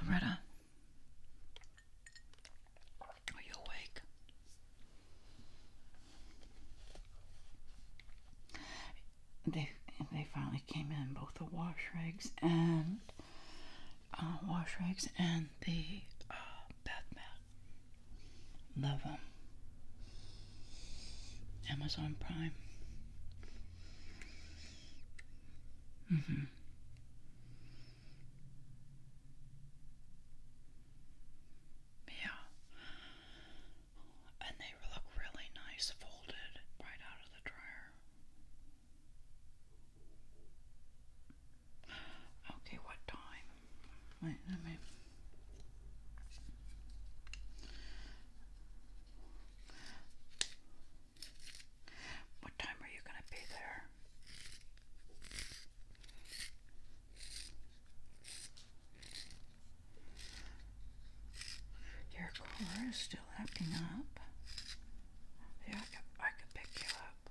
Loretta, are you awake? They they finally came in both the wash rags and uh, wash rags and the uh, bath mat. Love them. Amazon Prime. Mm-hmm. Yeah. And they look really nice folded right out of the dryer. Okay, what time? Wait, let me. What time are you going to be there? Your car is still acting up. Yeah, I could, I could pick you up.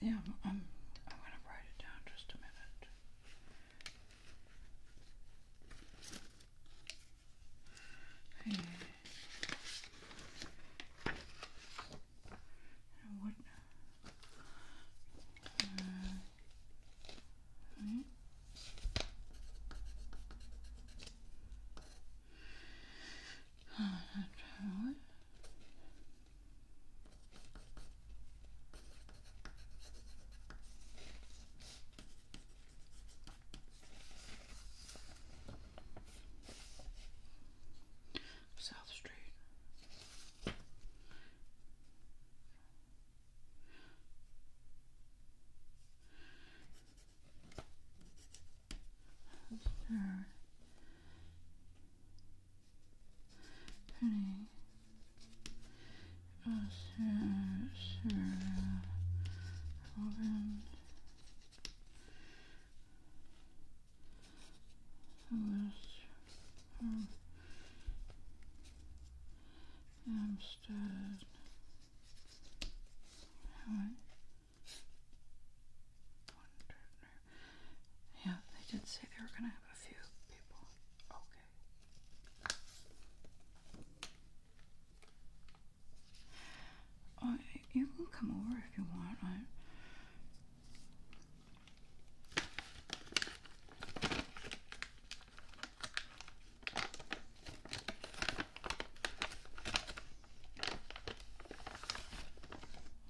Yeah, I'm, I'm, I'm going to write it down just a minute. Hey. And what? Uh, right. Hmm? South Street. Sure. Pretty. Oh, sure, sure. Hold on. Yeah, they did say they were gonna have a few people. Okay. you can come over if you want. I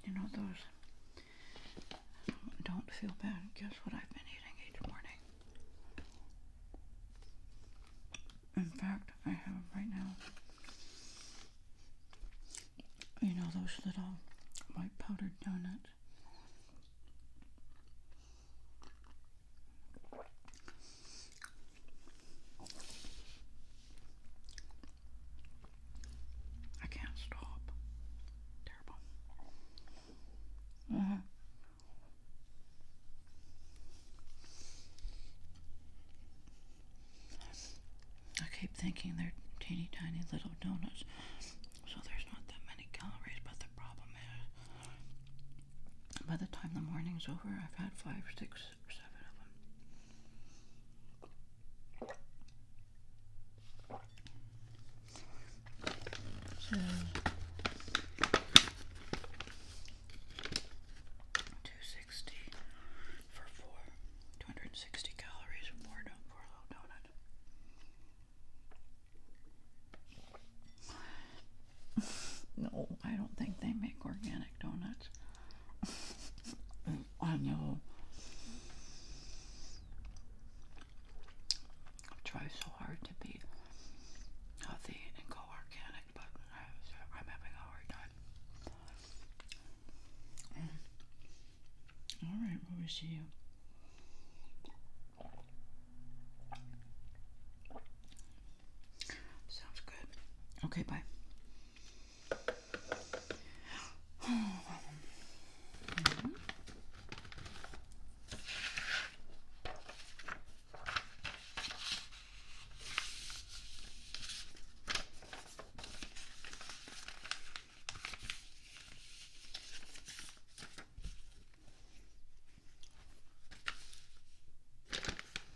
you know, those don't feel bad. Guess what I've been eating each morning? In fact, I have them right now. You know, those little white powdered donuts. I can't stop. Terrible. Mm-hmm. I keep thinking they're teeny tiny little donuts, so there's not that many calories. But the problem is, by the time the morning's over, I've had five, six, two sixty for four, two hundred and sixty calories or more do for a low donut no, I don't think they make organic donuts. I know. I try so hard to be healthy and go organic, but I, am having a hard time. Mm. All right, where was she? Sounds good. Okay, bye.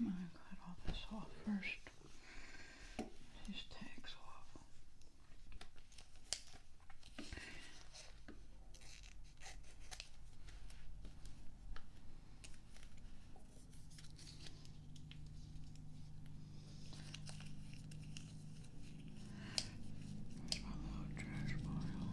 I'm going to cut all this off first. These tags off. my little trash pile.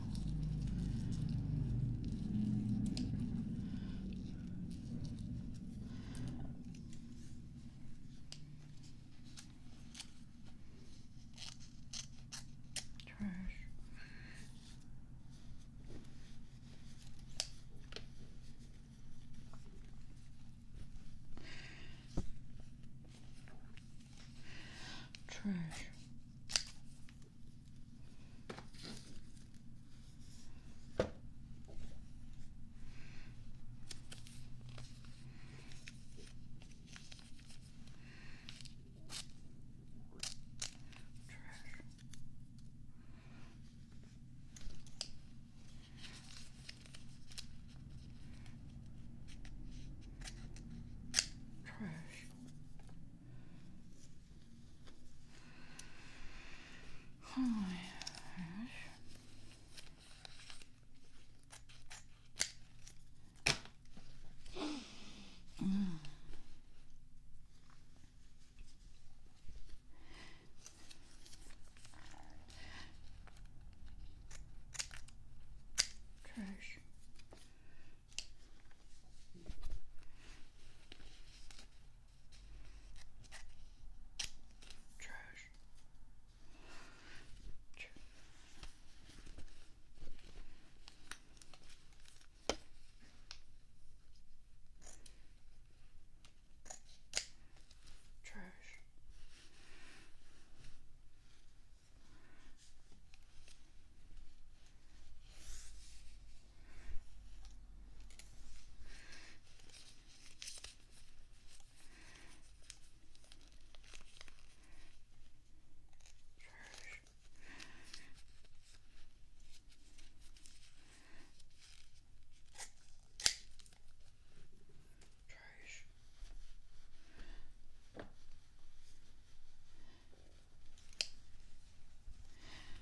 Trash. Trash. Trash. Trash. Oh Trash. Trash. Trash. Trash. Trash. Trash. Trash.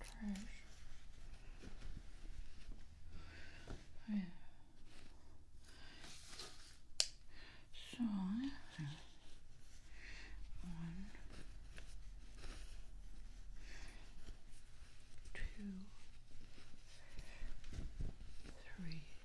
Trash. Yeah. So one, two, three.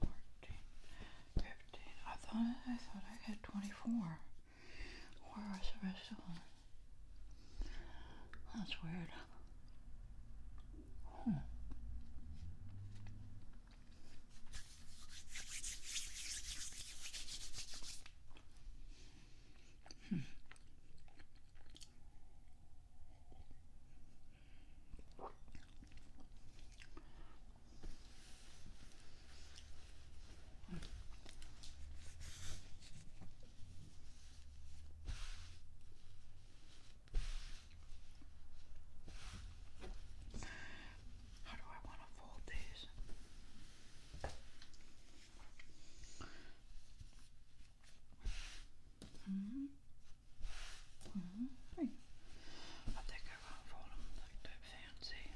14, 15. I thought I thought I had 24. Where was the rest of them? That's weird. Hmm. How do I want to fold these? -hmm. Mm -hmm. I think I went for them. They don't fancy.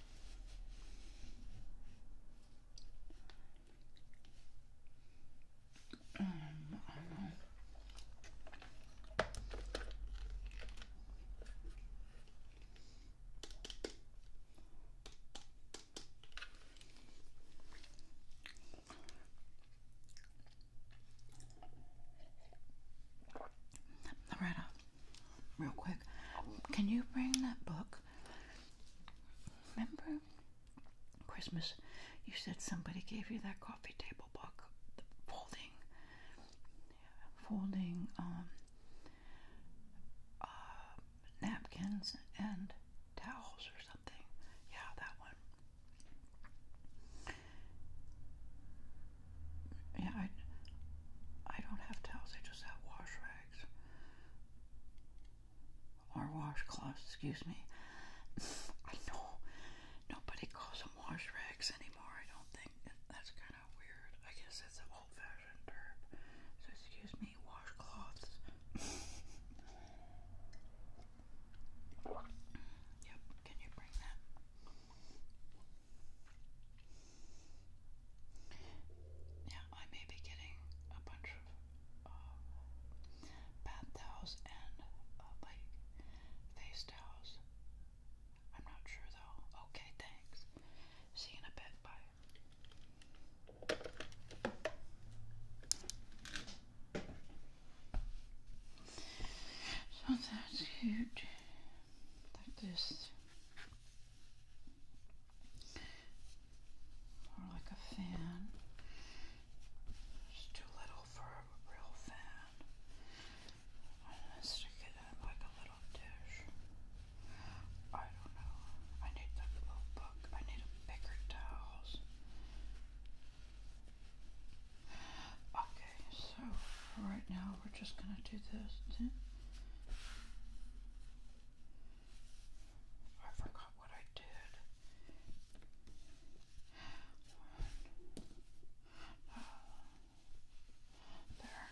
Loretta, real quick, can you bring that book? Remember Christmas? You said somebody gave you that coffee table book, folding, folding um, uh, napkins and towels or something. Yeah, that one. Yeah, I, I don't have towels, I just have wash rags. Or wash cloths. excuse me. I know nobody calls them wash rags anymore, I don't think. That's kind of weird. I guess that's an old fashioned term. So, excuse me, washcloths. yep, can you bring that? Yeah, I may be getting a bunch of uh, bath towels and uh, like face towels. I'm not sure though. Okay, thanks. See you in a bit. Bye. So that's huge like this, more like a fan. It's too little for a real fan. I'm gonna stick it in like a little dish. I don't know. I need the little book. I need a bigger towels. Okay so right now we're just going to do this. I forgot what I did. There.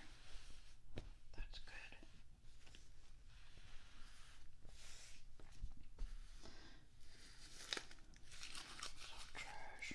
That's good. So trash.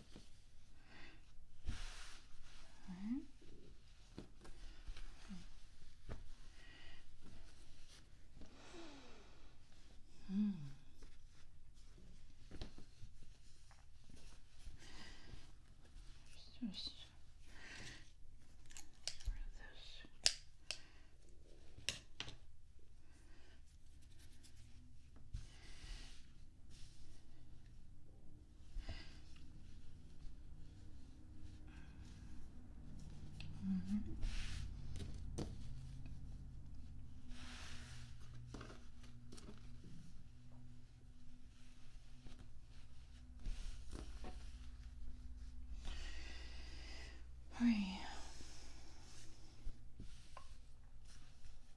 Right. Mm. this. Mm -hmm. Hurry.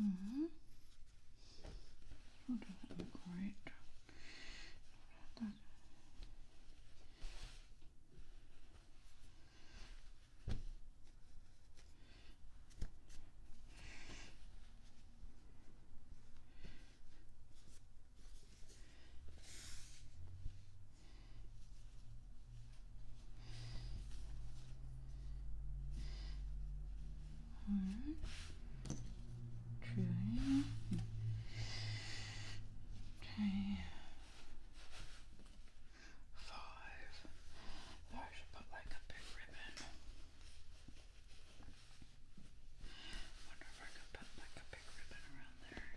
Mm hmm. You're doing great. That one, two, three, five. I should put like a big ribbon. I could put like a around there.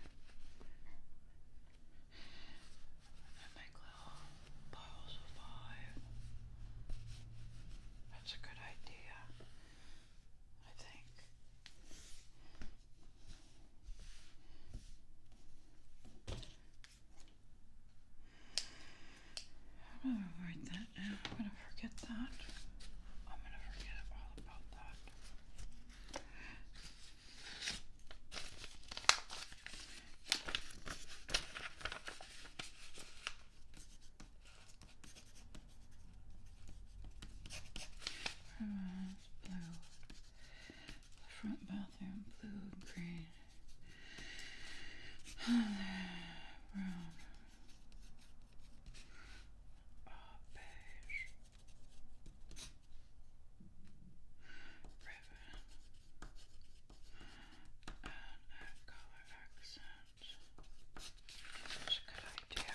And make little piles of five. That's a good idea, I think. I'm gonna write that down. I'm gonna forget that. I'm gonna forget all about that. Right, blue. The front bathroom, blue, green. Oh, brown. Oh, beige ribbon, and a colour accent. That's a good idea.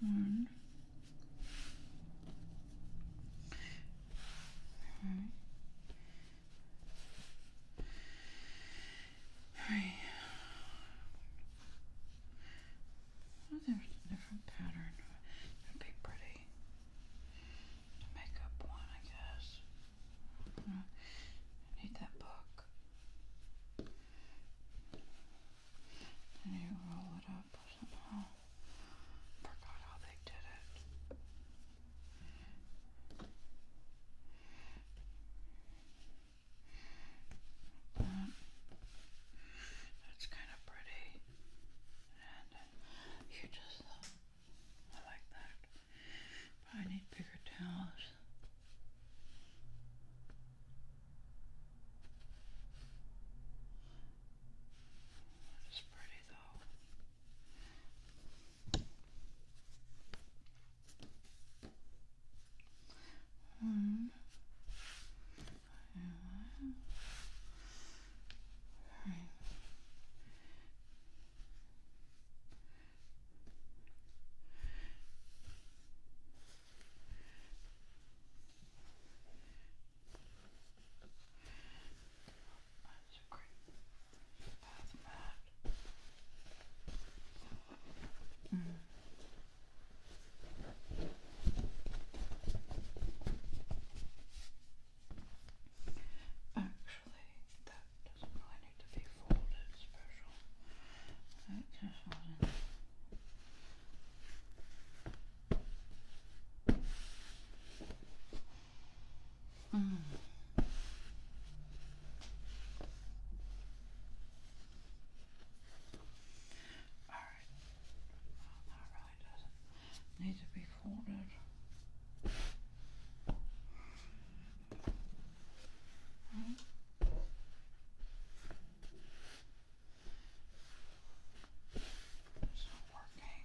One. Right. a different pattern. It'd be pretty to make up one, I guess. need that book and you roll it up somehow. Forgot how they did it. that's kind of pretty, and you just I like that. I need bigger towels. That is pretty though. One. One. Right. That's a Actually, that doesn't really need to be folded special. Mm. All right. that really doesn't need to be folded. It's not working.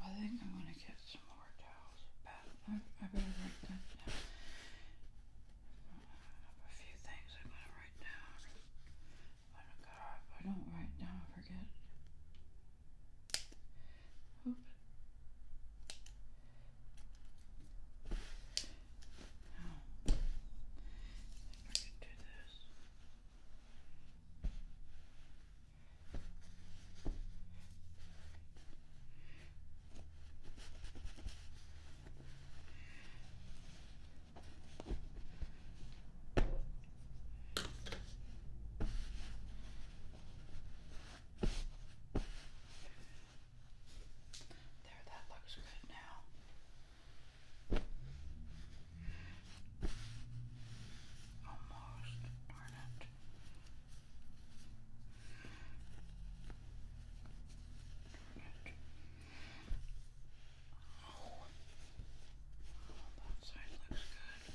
I think I'm gonna get some more towels. I, better write down. A few things I'm gonna write down. I don't write down, I forget. Oh. I should do this. There, that looks good now. Almost, darn it. Darn it. Oh. oh, that side looks good.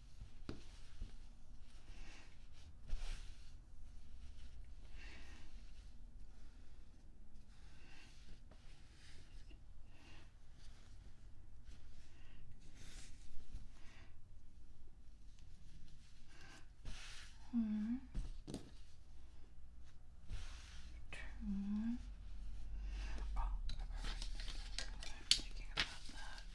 One, hmm. two. Oh, I remember thinking about that.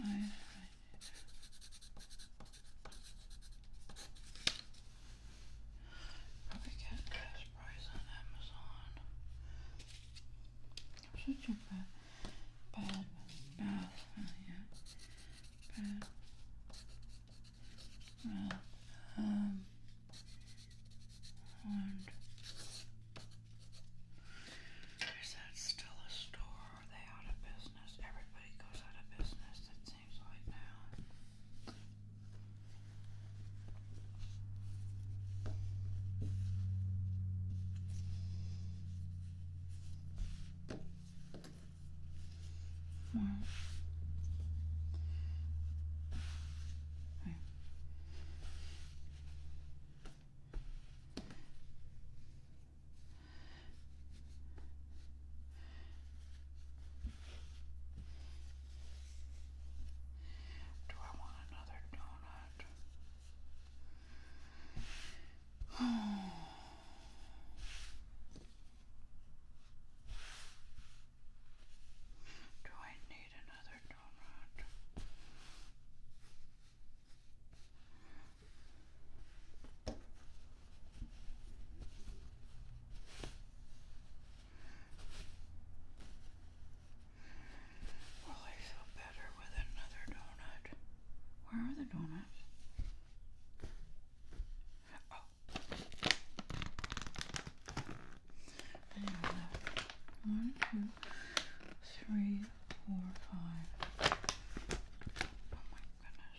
I, Probably get this price on Amazon. I'm such a bad, yeah. Bad Um, and is that still a store? Are they out of business? Everybody goes out of business, it seems like now. Well, I do I want another donut? Do I need another well, I feel better with another donut. Where are the donuts? Oh. One, two, three, four, five. Oh my goodness.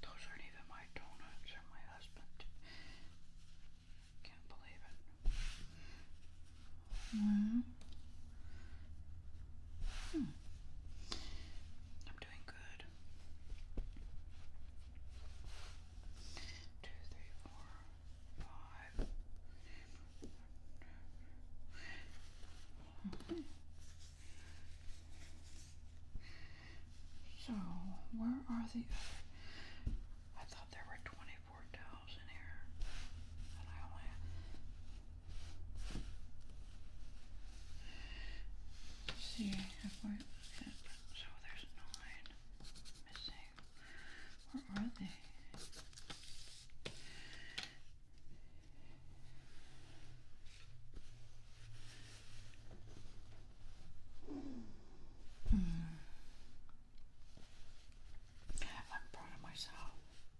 Those aren't even my donuts or my husband. Can't believe it. I'm doing good two, three, four, five. So, where are the other? I thought there were 24 towels in here. And I only. See, if so there's nine missing. Where are they? Hmm. I'm proud of myself.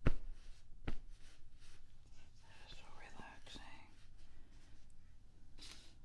That is so relaxing.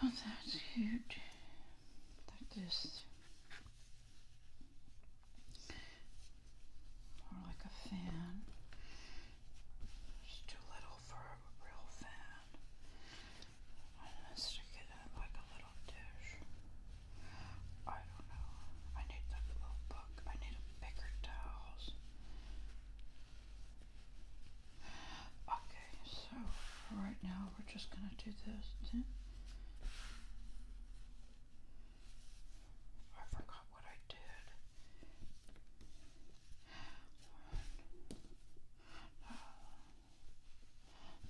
So that's huge. Like this. More like a fan. It's too little for a real fan. I want to stick it in like a little dish. I don't know. I need that little book. I need bigger towels. Okay, so right now we're just gonna do this. I forgot what I did.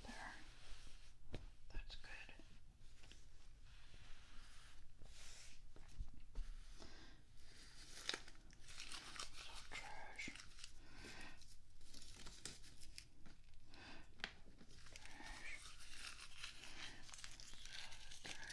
There. That's good. trash. Trash. Trash.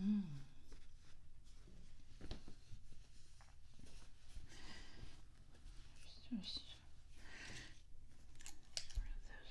Hmm. It's just get rid of this.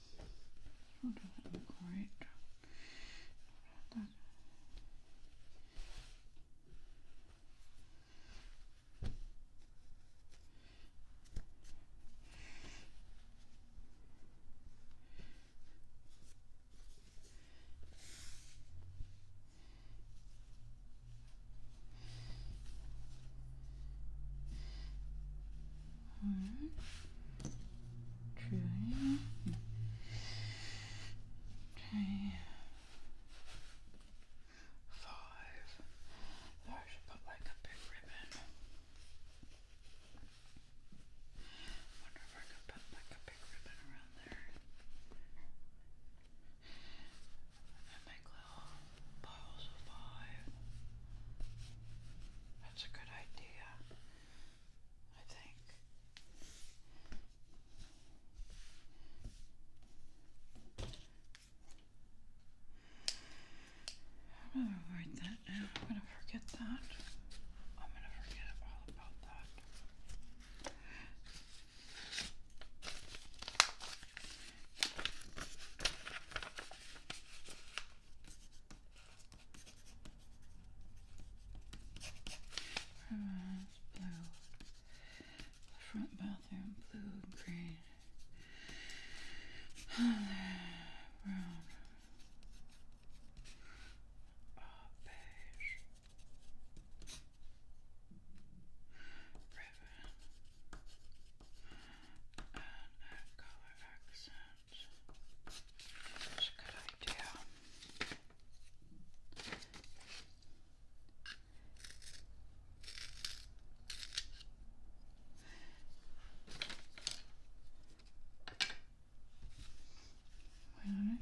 Oh, doesn't look right. That. Alright. I should put like a big ribbon. Wonder if I could put like a big ribbon around there. And make little piles of five. That's a good idea. I think. I'm gonna write that down. I'm gonna forget that. I'm gonna forget all about that. Primaries, blue. front bathroom, blue, green. Brown. beige. Ribbon. And color accent. That's a good idea. Wait a minute.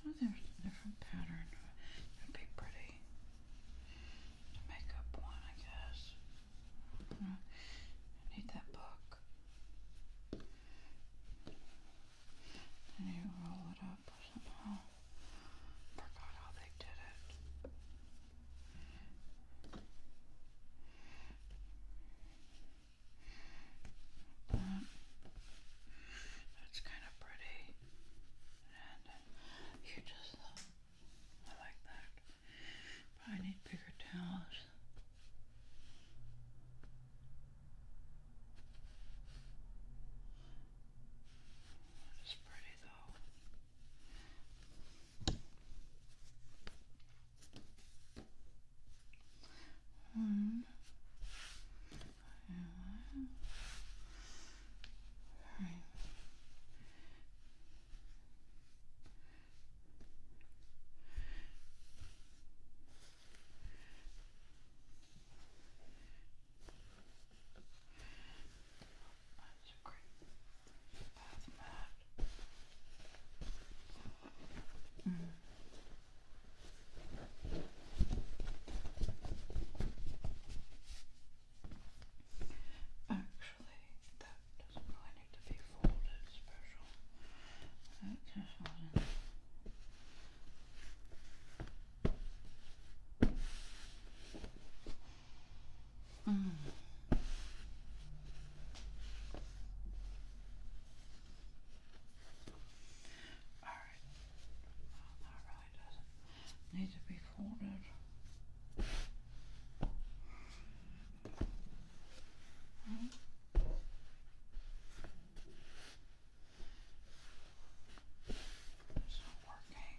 Oh, there's a different pattern. It'd be pretty to make up one, I guess. need that book. I need roll it up somehow. Forgot how they did it that's kind of pretty, and you uh, just uh, I like that, but I need bigger towels. It's pretty though. One. Two. Three. That's great. Mm. Actually, that doesn't really need to be folded special. It just wasn't. Mm. All right. that really doesn't need to be folded. It's not working.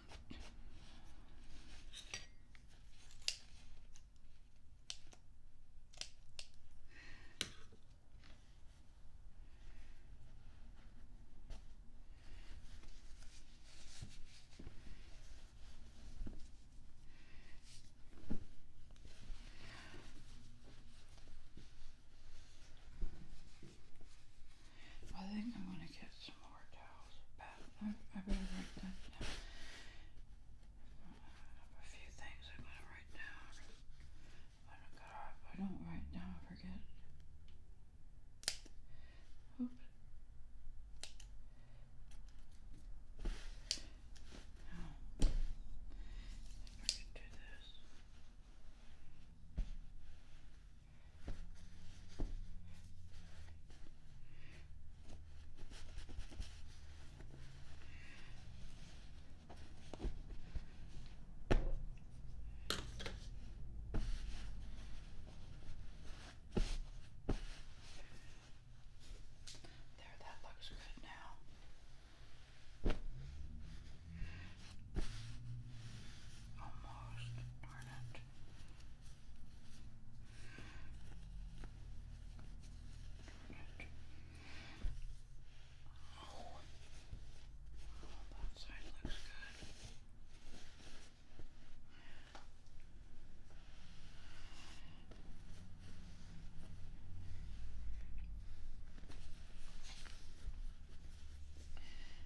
I think I'm going to get some more dough. I, better write down. a few things I'm going to write down. i don't write down, I forget. Oops. Now, I can do this. There, that looks good now. Almost, darn it. Oh. that side looks good.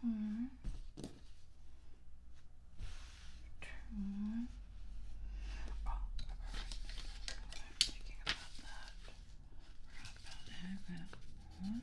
Hmm. two. Oh, I'm thinking about that. Forgot about that. One,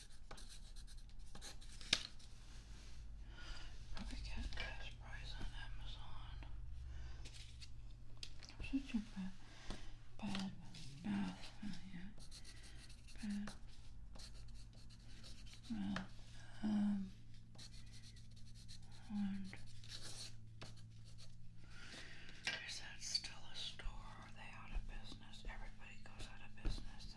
Probably get this price on Amazon. Such a bad, bad mouth. yeah. Bad mouth. Um. And is that still a store? Are they out of business? Everybody goes out of business.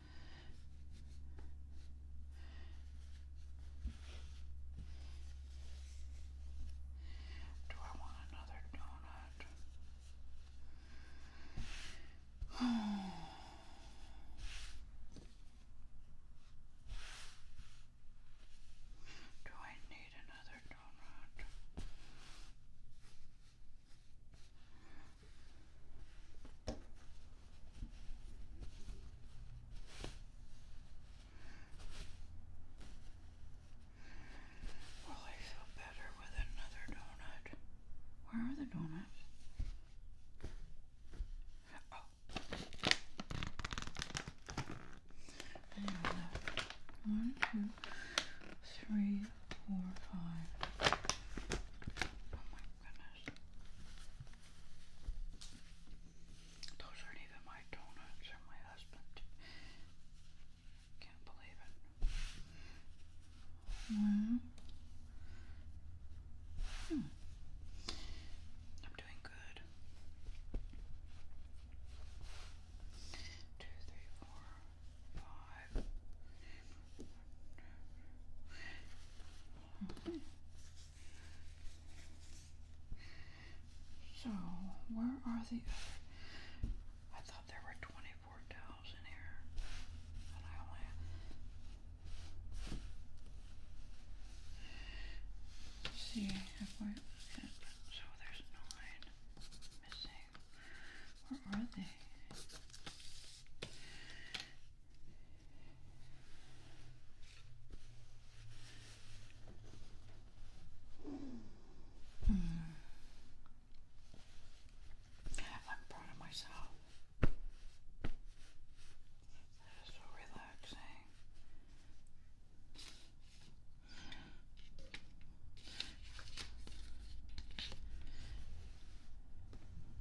Do I want another donut? Do I need another donut? Well, I feel better with another donut. Where are the donuts? Oh. Oh my Oh, goodness. Those aren't even my donuts, they my husband. Can't believe it. Mm. Hmm. I'm doing good. Two, three, four, five. So, where are the I thought there were 24 towels in here. And I only. see So there's nine missing. Where are they? Mm. I'm proud of myself. That is so relaxing.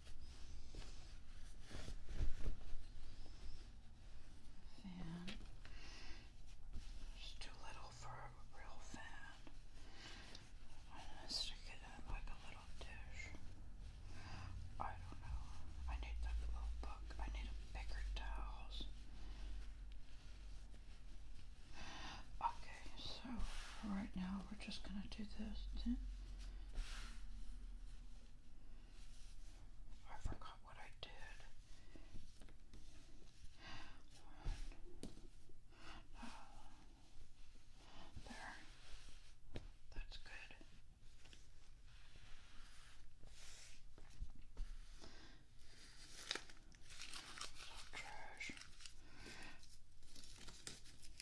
fan. It's too little for a real fan. I'm gonna stick it in like a little dish. I don't know. I need the little book. I need bigger towels. Okay, so right now we're just gonna do this. I forgot what I did. No. There. That's good. So trash.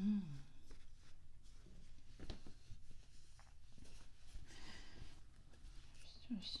Mm. Just this.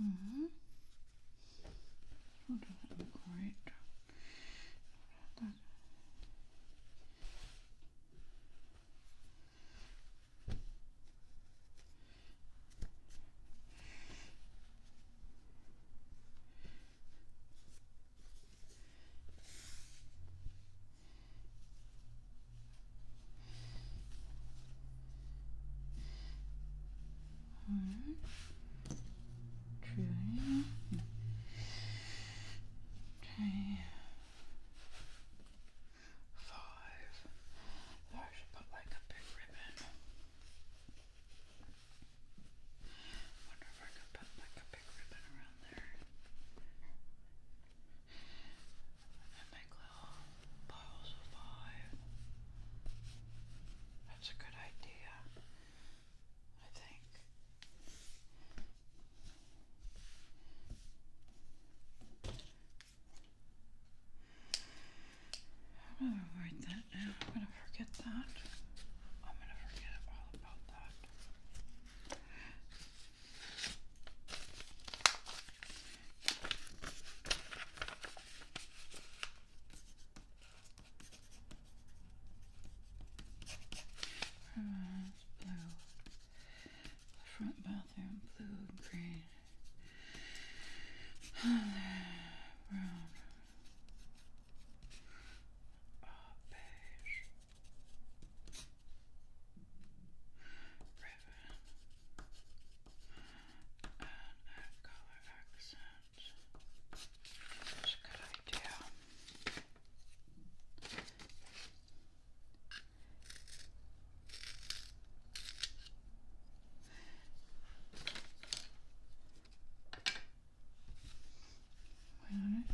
Mm hmm. You'll look great. Alright. I should put like a big ribbon. Wonder if I could put like a big ribbon around there and make little piles of five. That's a good idea, I think. I'm gonna write that I'm gonna forget that. I'm gonna forget all about that. Rose blue. The front bathroom blue, green. Other brown. Oh, beige. Ribbon and add accent. That's a good idea. Wait on it.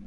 Yeah.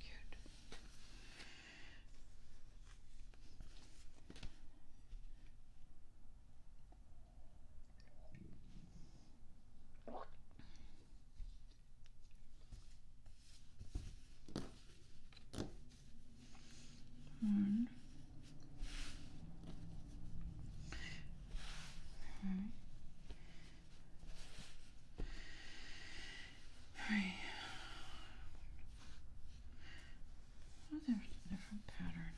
Cute. One. Alright. Alright. Oh, there's a different pattern.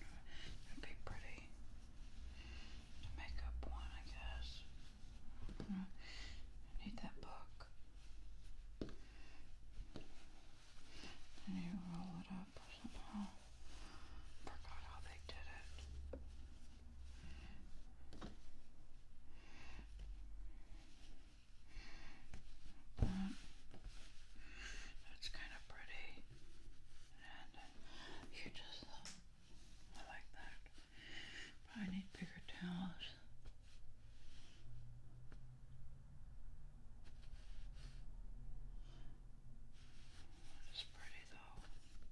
It'd be pretty to make up one, I guess. need that book. Then you roll it up somehow. Forgot how they did it. that's kind of pretty, and uh, you just I like that. But need bigger towels. It's pretty though.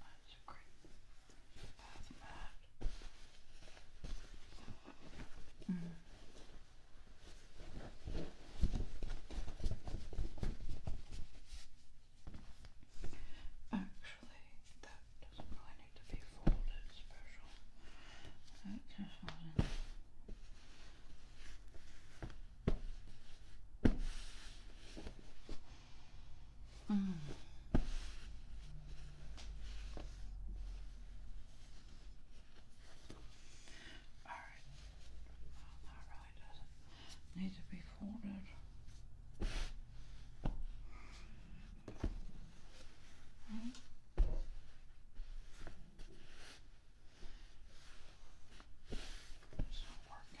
That's great. Actually, that doesn't really need to be folded special. Mm. All right. Well, to be folded. It's not working.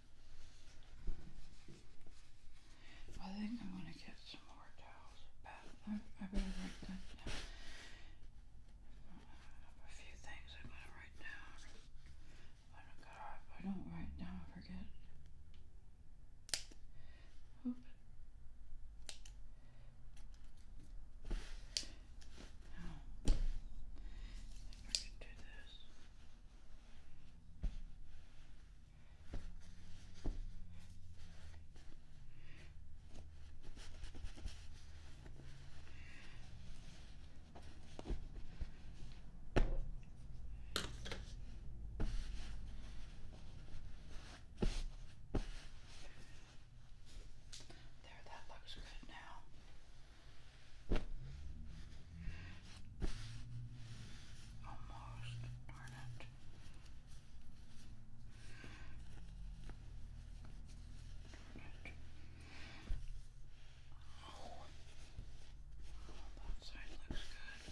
I think I'm gonna get some more towels. I, better write down. A few things I'm gonna write down. I God, I don't write down, I forget. Oop. No. I think do this. There, that looks good now. Almost, darn it. Darn it. Oh. that side looks good.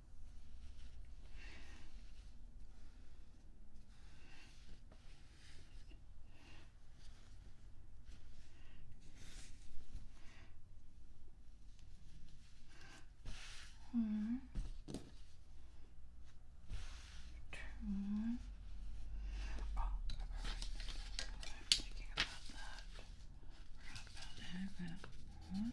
One, two. Oh, I'm thinking about that. Forgot about that. One,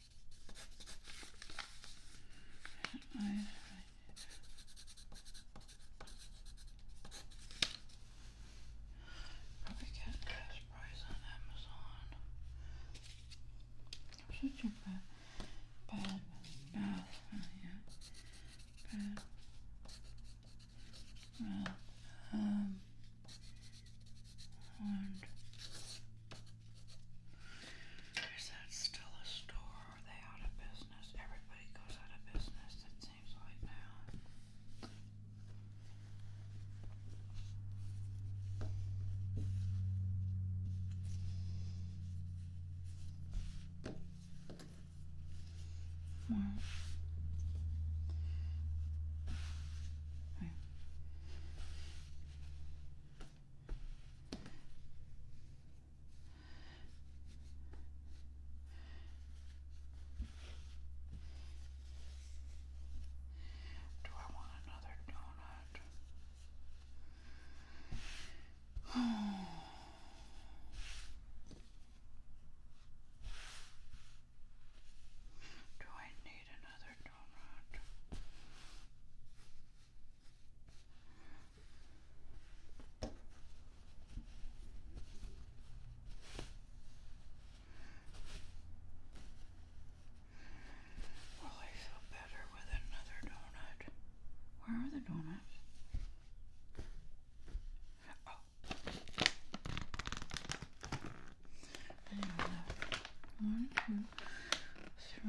I get cash price on Amazon. Such a bad, bad bath, yeah. Bad. Well, um, and is that still a store? Are they out of business? Everybody goes out of business, it seems like now. Well, hmm. I do I want another donut? Do I need another donut? Well, I feel better with another donut. Where are the donuts?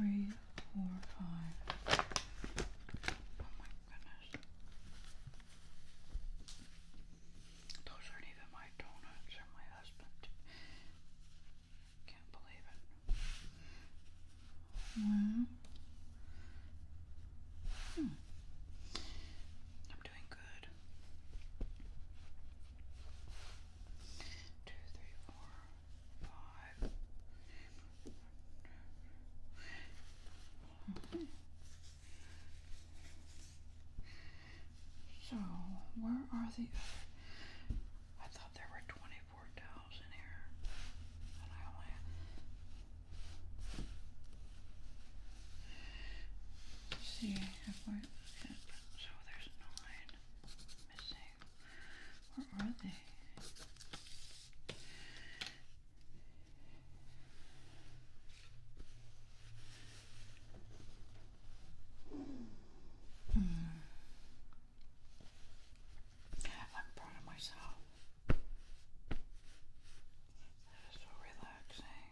Oh. Oh my goodness. Those aren't even my donuts or my husband. Can't believe it. hmm. I'm doing good. Two, three, four, so, where are the I thought there were 24 towels in here. see if I. So there's nine missing. Where are they? Hmm. I'm proud myself. That is so relaxing.